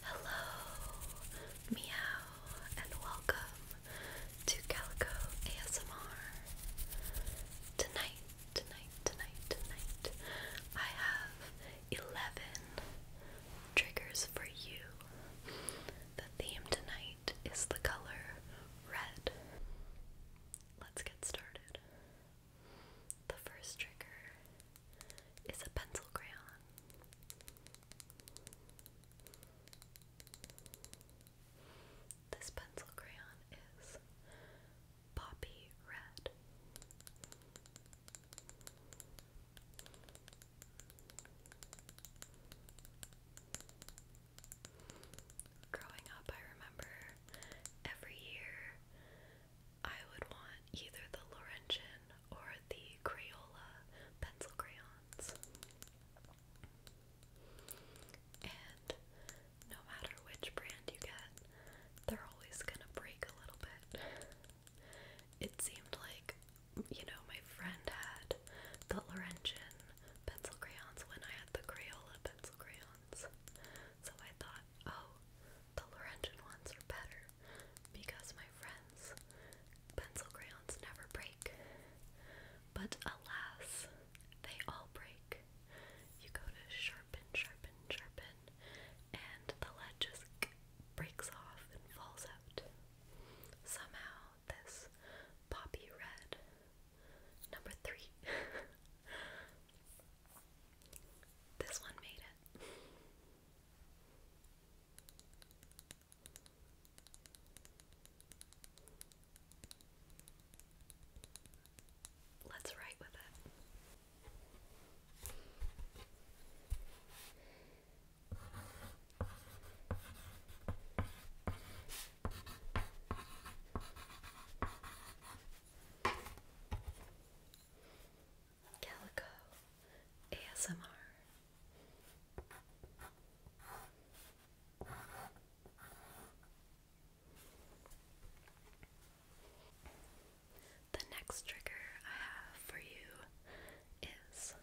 Hello, meow, and welcome to Calico ASMR. Tonight, tonight, tonight, tonight, I have 11 triggers for you. The theme tonight is the color red. Let's get started. The first trigger is a pencil crayon. This pencil crayon is poppy red. Growing up, I remember every year I would want either the Laurentian or the Crayola pencil crayons. And no matter which brand you get, they're always gonna break a little bit. It seemed like, you know, my friend had the Laurentian pencil crayons when I had the Crayola pencil crayons. So I thought, oh, the Laurentian ones are better because my friends, pencil crayons never break. But alas, they all break. You go to sharpen, sharpen, sharpen, and the lead just breaks off and falls out. Somehow, this poppy red, number three, this one made it. Let's write with it. Calico ASMR. The next trigger I have for you is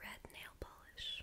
red nail polish.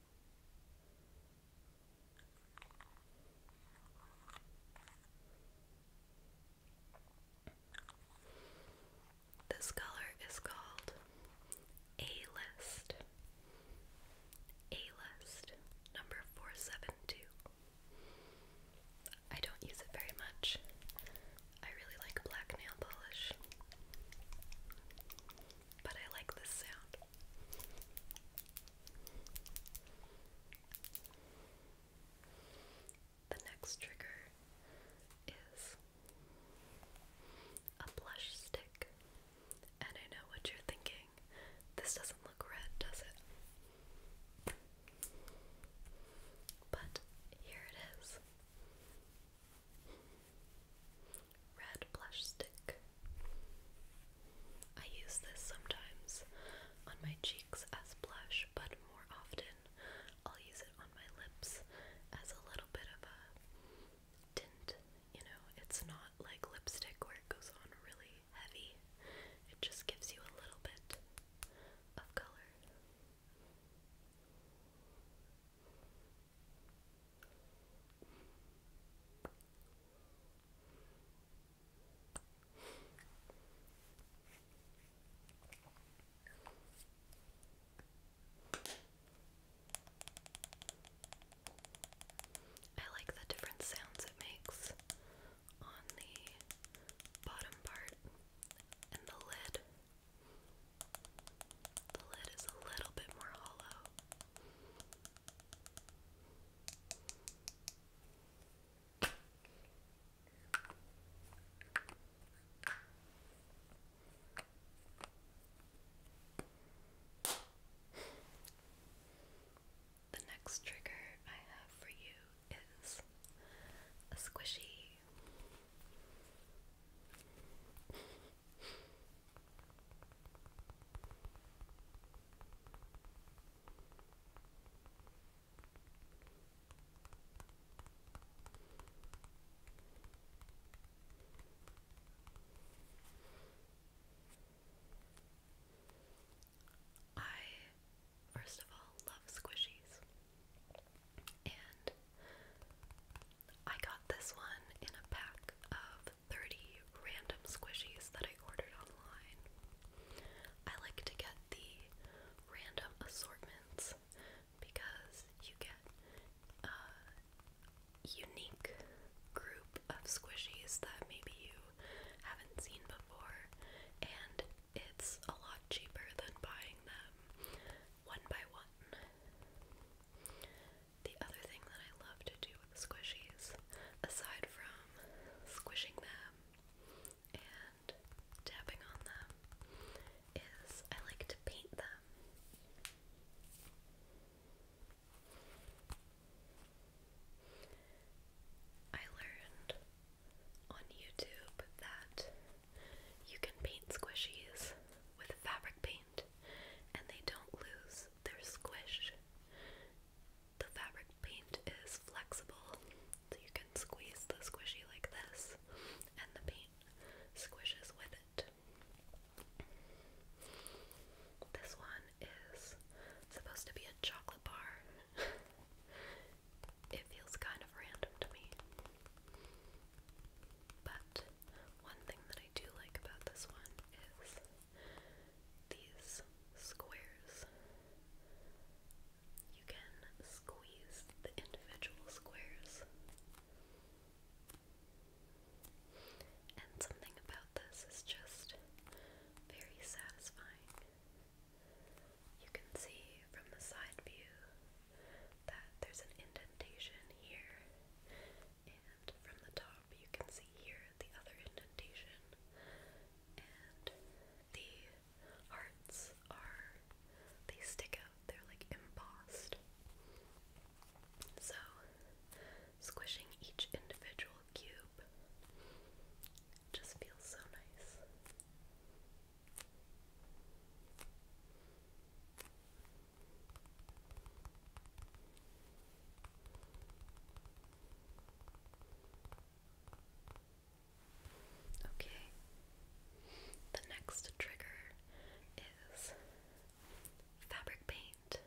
This color is called A-List. A-List number 472. I don't use it very much. I really like black nail polish but I like this sound. The next trigger is a blush stick. And I know what you're thinking. This doesn't look red, does it? But here it is. Red blush stick. I use this sometimes on my cheeks as blush, but more often I'll use it on my lips as a little bit of a tint. You know, it's not like lipstick where it goes on really heavy, it just gives you a little bit of color. I like the different sounds it makes on the bottom part and the lid. The lid is a little bit more hollow. The next trigger I have for you is a squishy. I, first of all, love squishies. And I got this one in a pack of 30 random squishies that I ordered online. I like to get the random assortments because you get a unique group of squishies that maybe you haven't seen before, and it's a lot cheaper than buying them one by one. The other thing that I love to do with squishies, aside from squishing them and tapping on them, is I like to paint them. I learned on YouTube that you can paint squishies with fabric paint and they don't lose their squish. The fabric paint is flexible, so you can squeeze the squishy like this, and the paint squishes with it. This one is supposed to be a chocolate bar. it feels kind of random to me. But one thing that I do like about this one is these squares. You can squeeze the individual squares. And something about this is just very satisfying. You can see from the side view that there's an indentation here and from the top, you can see here the other indentation. And the hearts are, they stick out, they're like embossed. So, squishing each individual cube just feels so nice. Okay. The next trigger is fabric paint.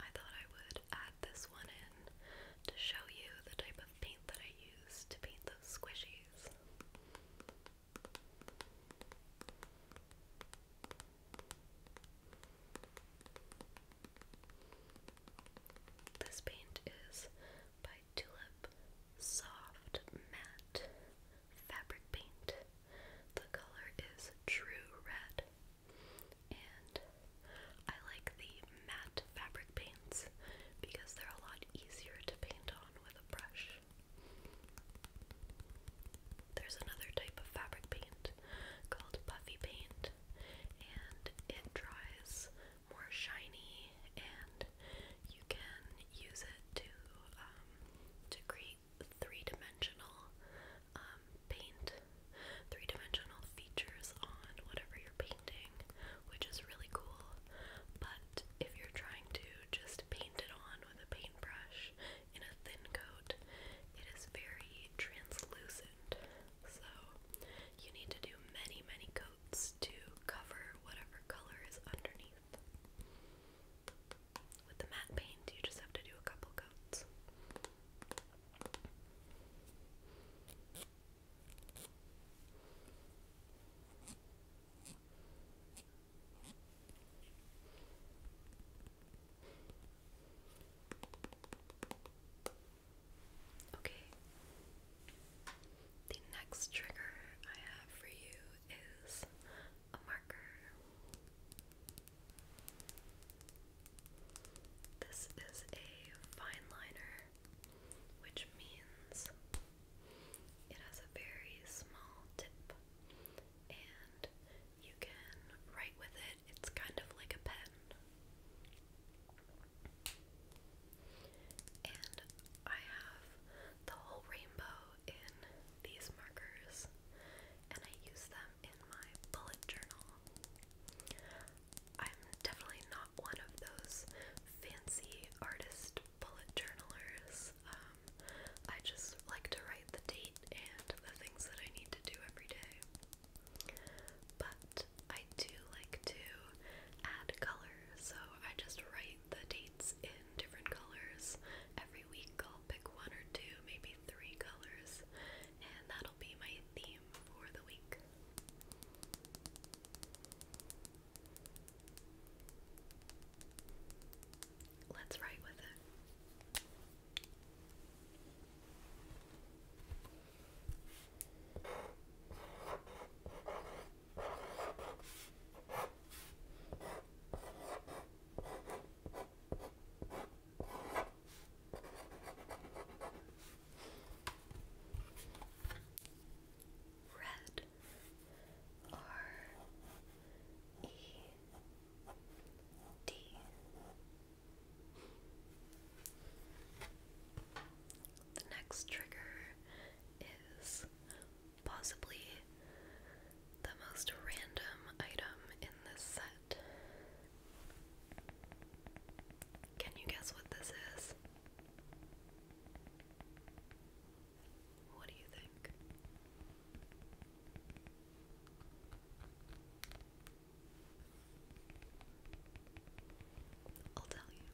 I thought I would add this one in to show you the type of paint that I use to paint those squishies. This paint is by Tulip Soft Matte Fabric Paint. The color is True Red. And I like the matte fabric paints because they're a lot lot easier to paint on with a brush. There's another type of fabric paint called puffy paint, and it dries more shiny, and you can use it to um, to create three-dimensional um, paint, three-dimensional features on whatever you're painting, which is really cool. But that if you're trying to just paint it on with a paintbrush in a thin coat, it is very translucent. So you need to do many, many coats to cover whatever color is underneath. With the matte paint, you just have to do a couple coats. Okay. The next trigger I have for you is a marker. This is a fine liner which means it has a very small tip and you can write with it. It's kind of like a pen. And I have the whole rainbow in these markers, and I use them in my bullet journal. I'm definitely not one of those fancy artist bullet journalers. Um, I just like to write the date and the things that I need to do every day. But I do like to add color, so I just write the dates in different colors. Every week I'll pick one or two, maybe three colors, and that'll be my theme for the week. Let's write with it red R E D The next trigger is possibly the most random item in this set. Can you guess what this is? What do you think? I'll tell you.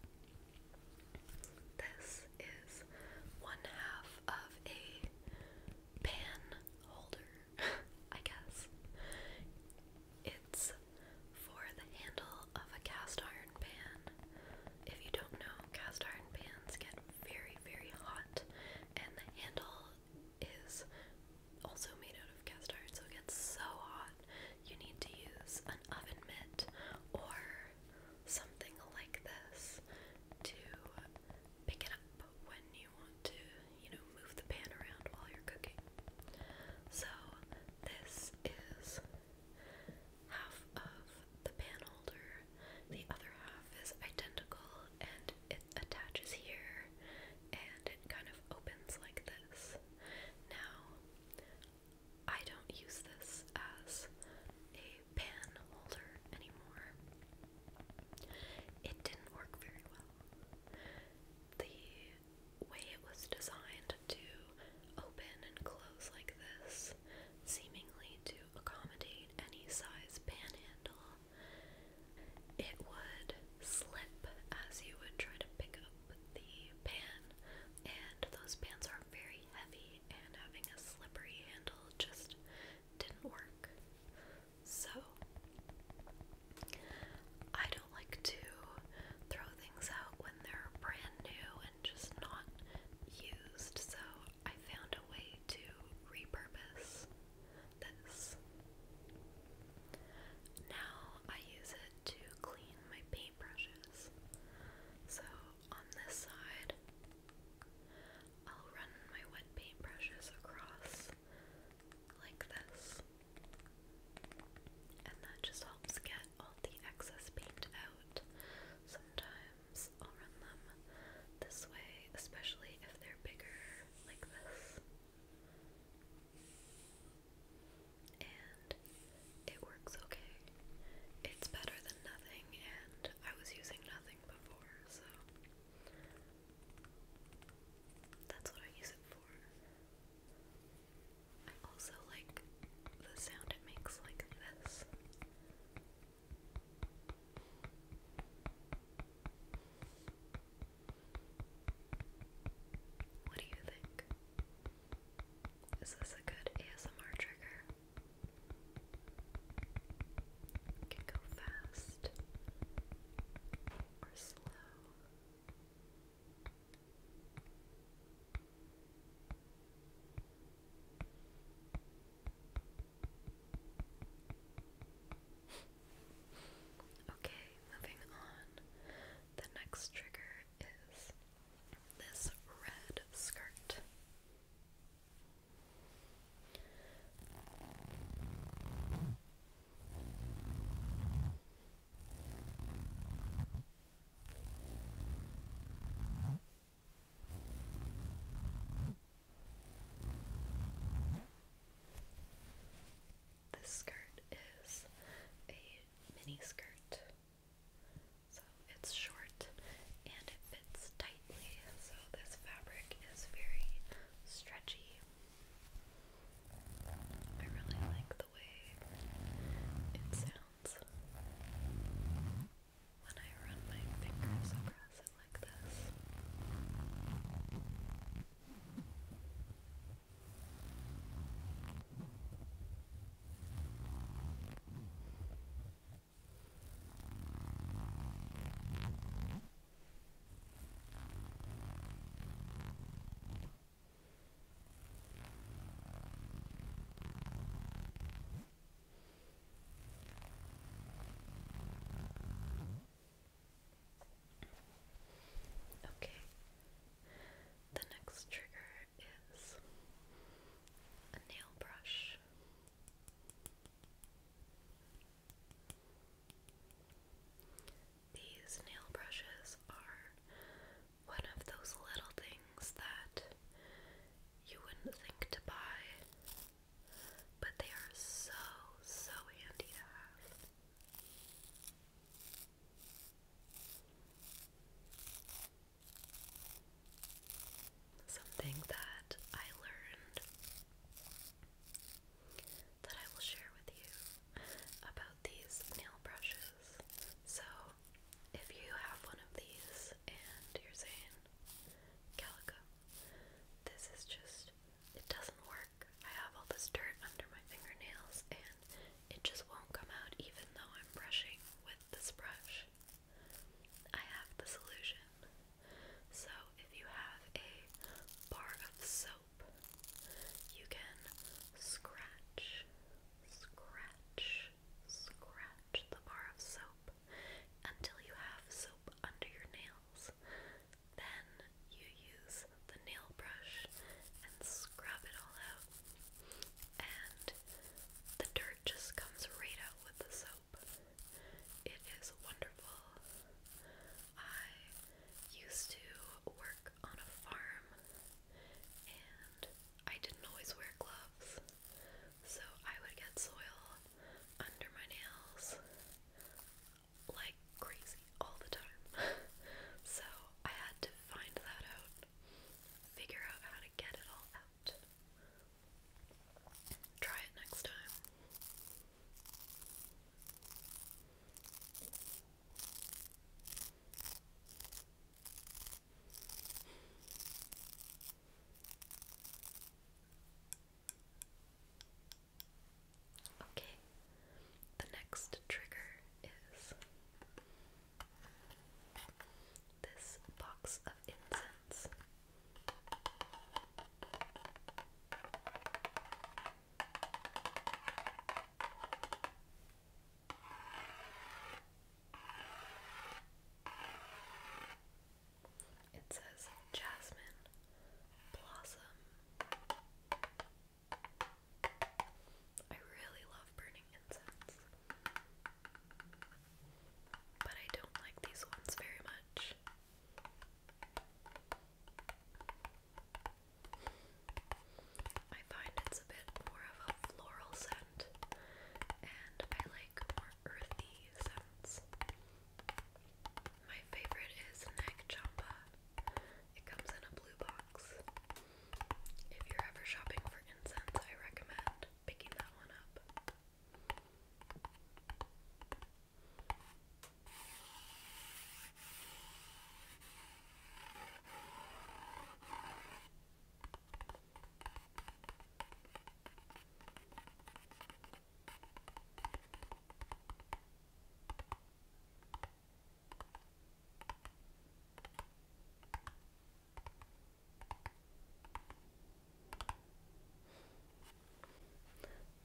This is one half of a pan holder, I guess. It's for the handle of a cast iron pan if you don't know, cast iron pans get very, very hot, and the handle is also made out of cast iron, so it gets so hot you need to use an oven mitt or something like this to pick it up when you want to, you know, move the pan around while you're cooking. So, this is half of the pan holder. The other half is identical and it attaches here and it kind of opens like this. Now, I don't use this as a pan holder anymore. It didn't work very well. The way it was designed to open and close like this, seemingly to accommodate any size pan handle, It would slip as you would try to pick up the pan, and those pans are very heavy, and having a slippery handle just didn't work. So, I don't like to throw things out when they're brand new just not used, so I found a way to repurpose this. Now I use it to clean my paintbrushes. So on this side, I'll run my wet paintbrushes across like this, and that just helps get all the excess paint out. Sometimes I'll run them this way, especially if they're bigger like this. And it works okay. It's better than nothing, and I was using nothing before, so that's what I use it for. I also like the sound it makes like this. What do you think? Is this a good ASMR trigger? can go fast or slow. Okay, moving on. The next trigger is this red skirt. This skirt is a mini skirt, so it's short and it fits tightly, so this fabric is very stretchy. I really like the way it sounds sounds when I run my fingers across it like this. Okay. The next trigger is a nail brush. These nail brushes are one of those little things that you wouldn't think to buy, but they are so, so handy to have. Something that I learned that I will share with you about these nail brushes. So, if you have one of these and you're saying, Calico, this is just, it doesn't work. I have all this dirt under my fingernails and it just won't come out even though I'm brushing with this brush. I have the solution. So if you have a bar of soap, you can scratch Scratch, scratch the bar of soap until you have soap under your nails. Then you use the nail brush and scrub it all out. And the dirt just comes right out with the soap. It is wonderful. I used to work on a farm and I didn't always wear gloves, so I would get soil under my nails like crazy all the time. so I had to find that out, figure out how to get it all out. Try it next time. Okay, the next trigger is this box of incense. It says Jasmine Blossom. I really love burning incense, but I don't like these ones very much. I find it's a bit more of a floral scent, and I like more earthy scents. My favorite is Nag Champa. It comes in a blue box. If you're ever shopping for incense, I recommend picking that one up.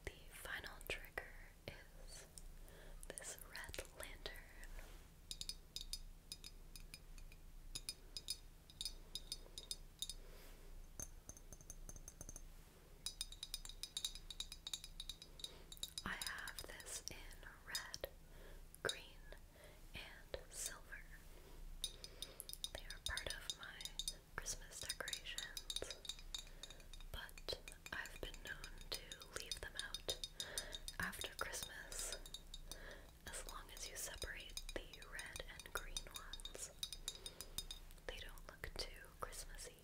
The final trigger is this red lantern. I have this in red, green, and silver. They are part of my Christmas decorations, but I've been known to leave them out after Christmas as long as you separate the red and green ones. They don't look too Christmassy.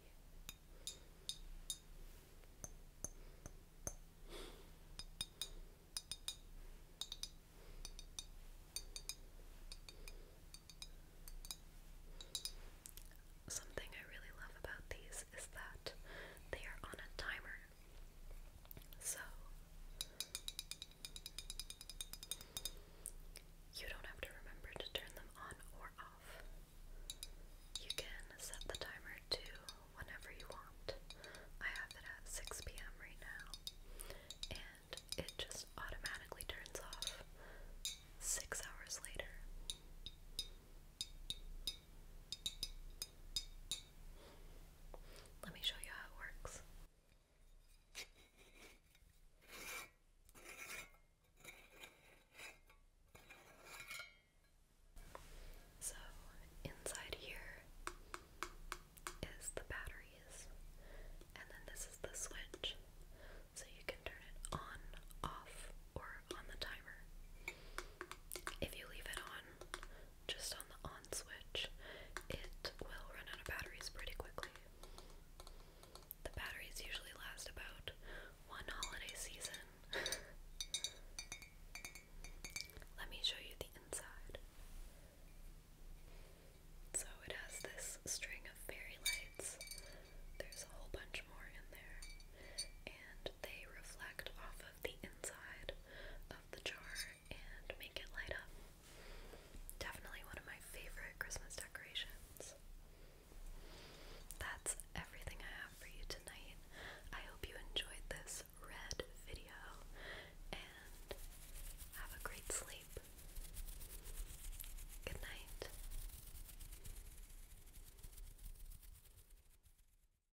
Something I really love about these is that they are on a timer so you don't have to remember to turn them on or off. You can set the timer to whenever you want. I have it at 6 p.m. right now, and it just automatically turns off six hours later. Let me show you how it works. So, inside here is the batteries, and then this is the switch, so you can turn it on, off, or on the timer. If you leave it on, just on the on switch, it will run out of batteries pretty quickly. The batteries usually last about one holiday season. Let me show you the inside. So it has this string of fairy lights. There's a whole bunch more in there. And they reflect off of the inside the jar and make it light up. Definitely one of my favorite Christmas decorations. That's everything I have for you tonight. I hope you enjoyed this red video and have a great sleep. Good night.